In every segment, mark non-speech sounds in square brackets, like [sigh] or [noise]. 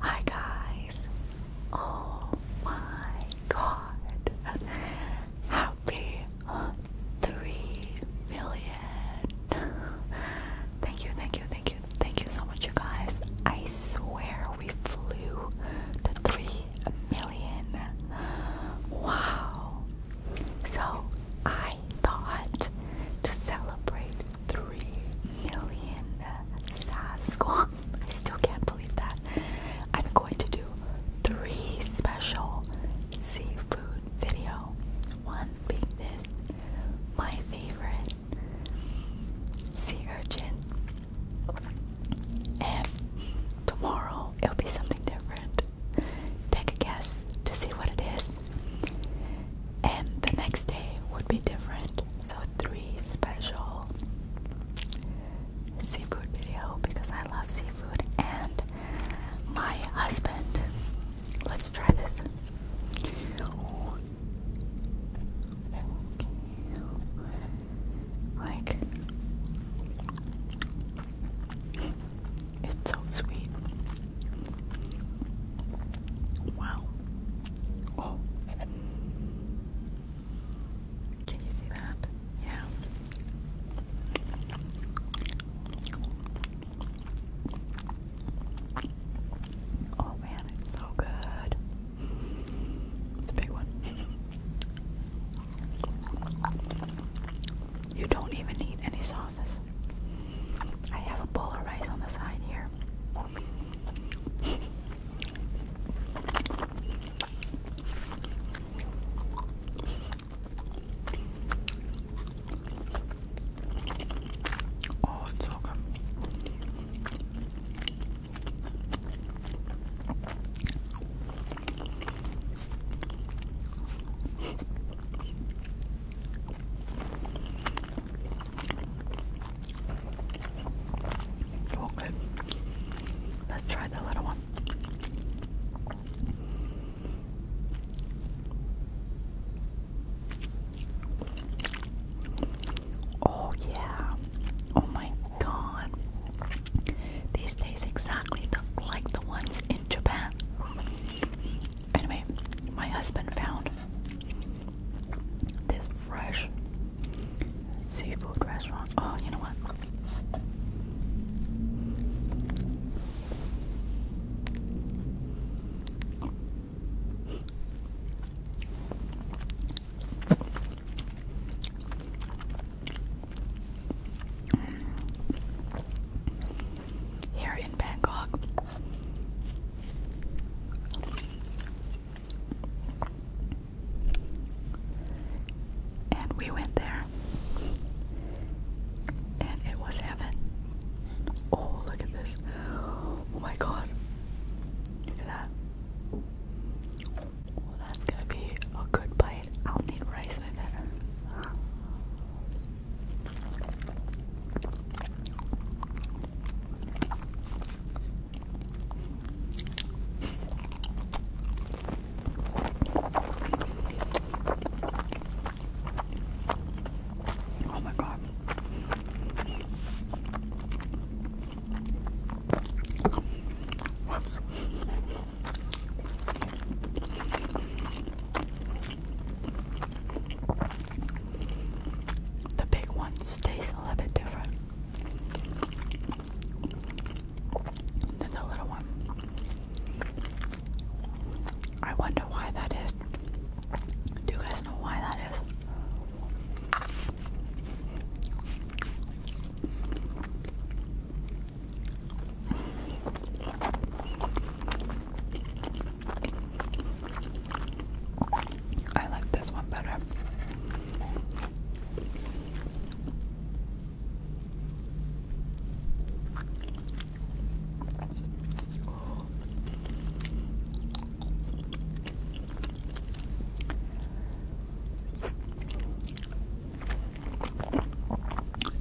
Hi guys! Oh my god! Happy 3 million! Thank you, thank you, thank you, thank you so much, you guys. I swear we flew to 3 million. Wow! So I I thought to celebrate 3 million uh, Sasquatch. [laughs] I still can't believe that. I'm going to do three special seafood video. One being this, my favorite sea urchin. And tomorrow it'll be something different. Take a guess to see what it is. And the next day would be different. So, three special seafood video because I love seafood and my husband. Let's try this. Like it's so sweet. Wow. Oh. Can you see that? Yeah. Oh man, it's so good. It's a big one. You don't even need any sauces. I have a bowl of rice on the side here. Oh, it's so good. Oh, Let's try the little one. Oh, yeah. Oh, my God. These taste exactly like the ones in Japan. Anyway, my husband found this fresh seafood restaurant. Oh, you know what? Here in Bangkok. And we went there. And it was heaven. Oh, look at this. Oh my god. Look at that. Well, that's gonna be a good bite. I'll need rice with it. Oh my god. The big ones taste a little bit different than the little one. I wonder why that is. Do you guys know why that is? I like this one better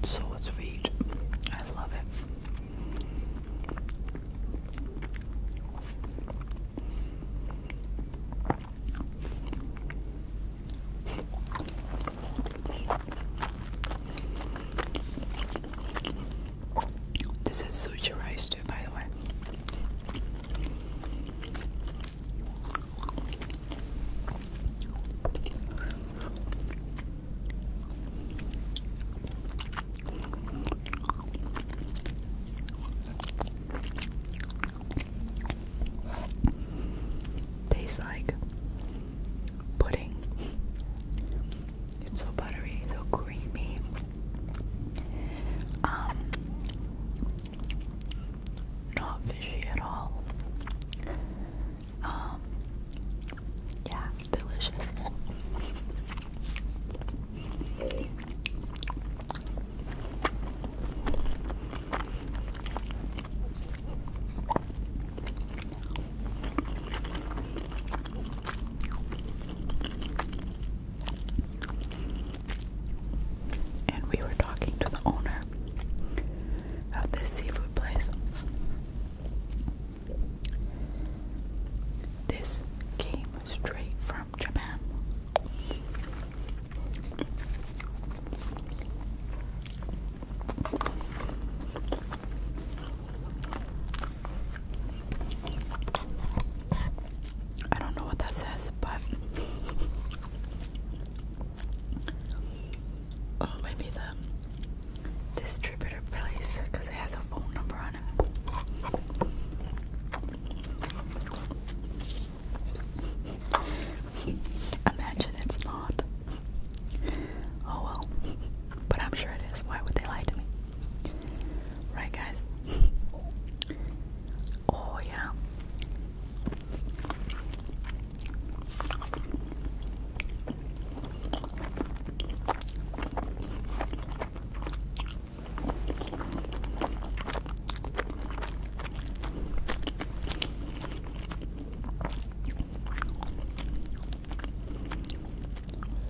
so sweet. I love it. This is sushi rice by the way. Tastes like pudding. It's so buttery, so creamy. Um, not fishy at all. Um, yeah, delicious. And we were talking to the owner of this seafood place. This came straight from Japan. I don't know what that says, but [laughs] oh, maybe the distributor place because it has a phone number on it. Imagine it's not. Oh well, but I'm sure it is. Why would they lie to me? Right, guys? [laughs] oh, yeah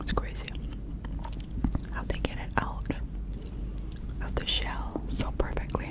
It's crazy how they get it out of the shell so perfectly.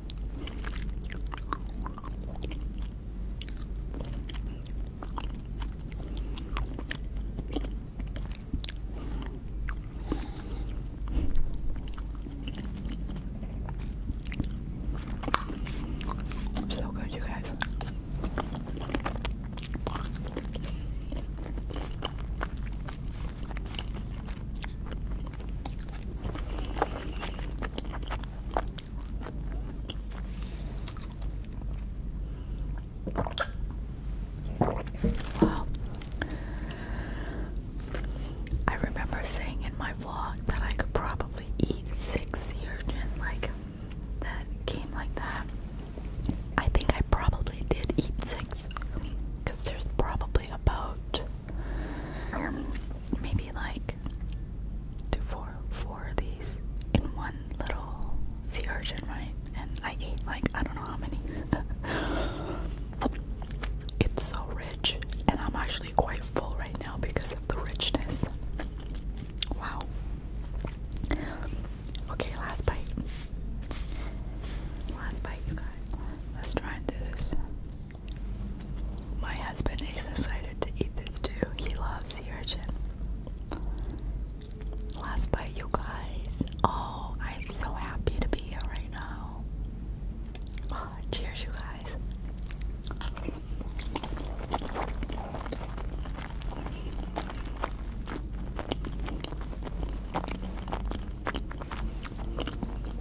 So good, you guys. Wow. I remember saying in my vlog that I could probably eat six sea urchin like that came like that. I think I probably did eat six because there's probably about maybe like do of these in one little sea urchin, right? And I ate like I don't know how many. [laughs] it's so rich, and I'm actually quite full right now because of the richness. Wow. Okay, last bite. Last bite, you guys. Let's try and do this. My husband is excited to eat this too. He loves sea urchin. Last bite, you guys. Oh, I'm so happy to be here right now. Ah, cheers, you guys.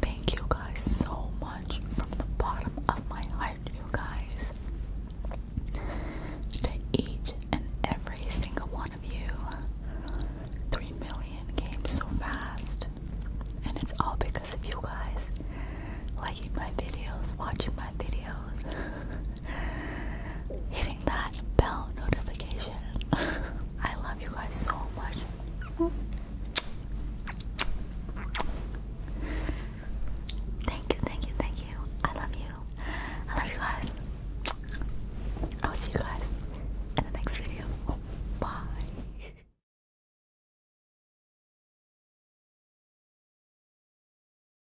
Thank you guys so much from the bottom of my heart, you guys. To each and every single one of you. 3 million came so fast. And it's all because of you guys Like my videos, watching my videos. [laughs] hitting that bell notification. [laughs] I love you guys so much. Thank you, thank you, thank you. I love you. I love you guys. I'll see you guys in the next video. Bye. [laughs]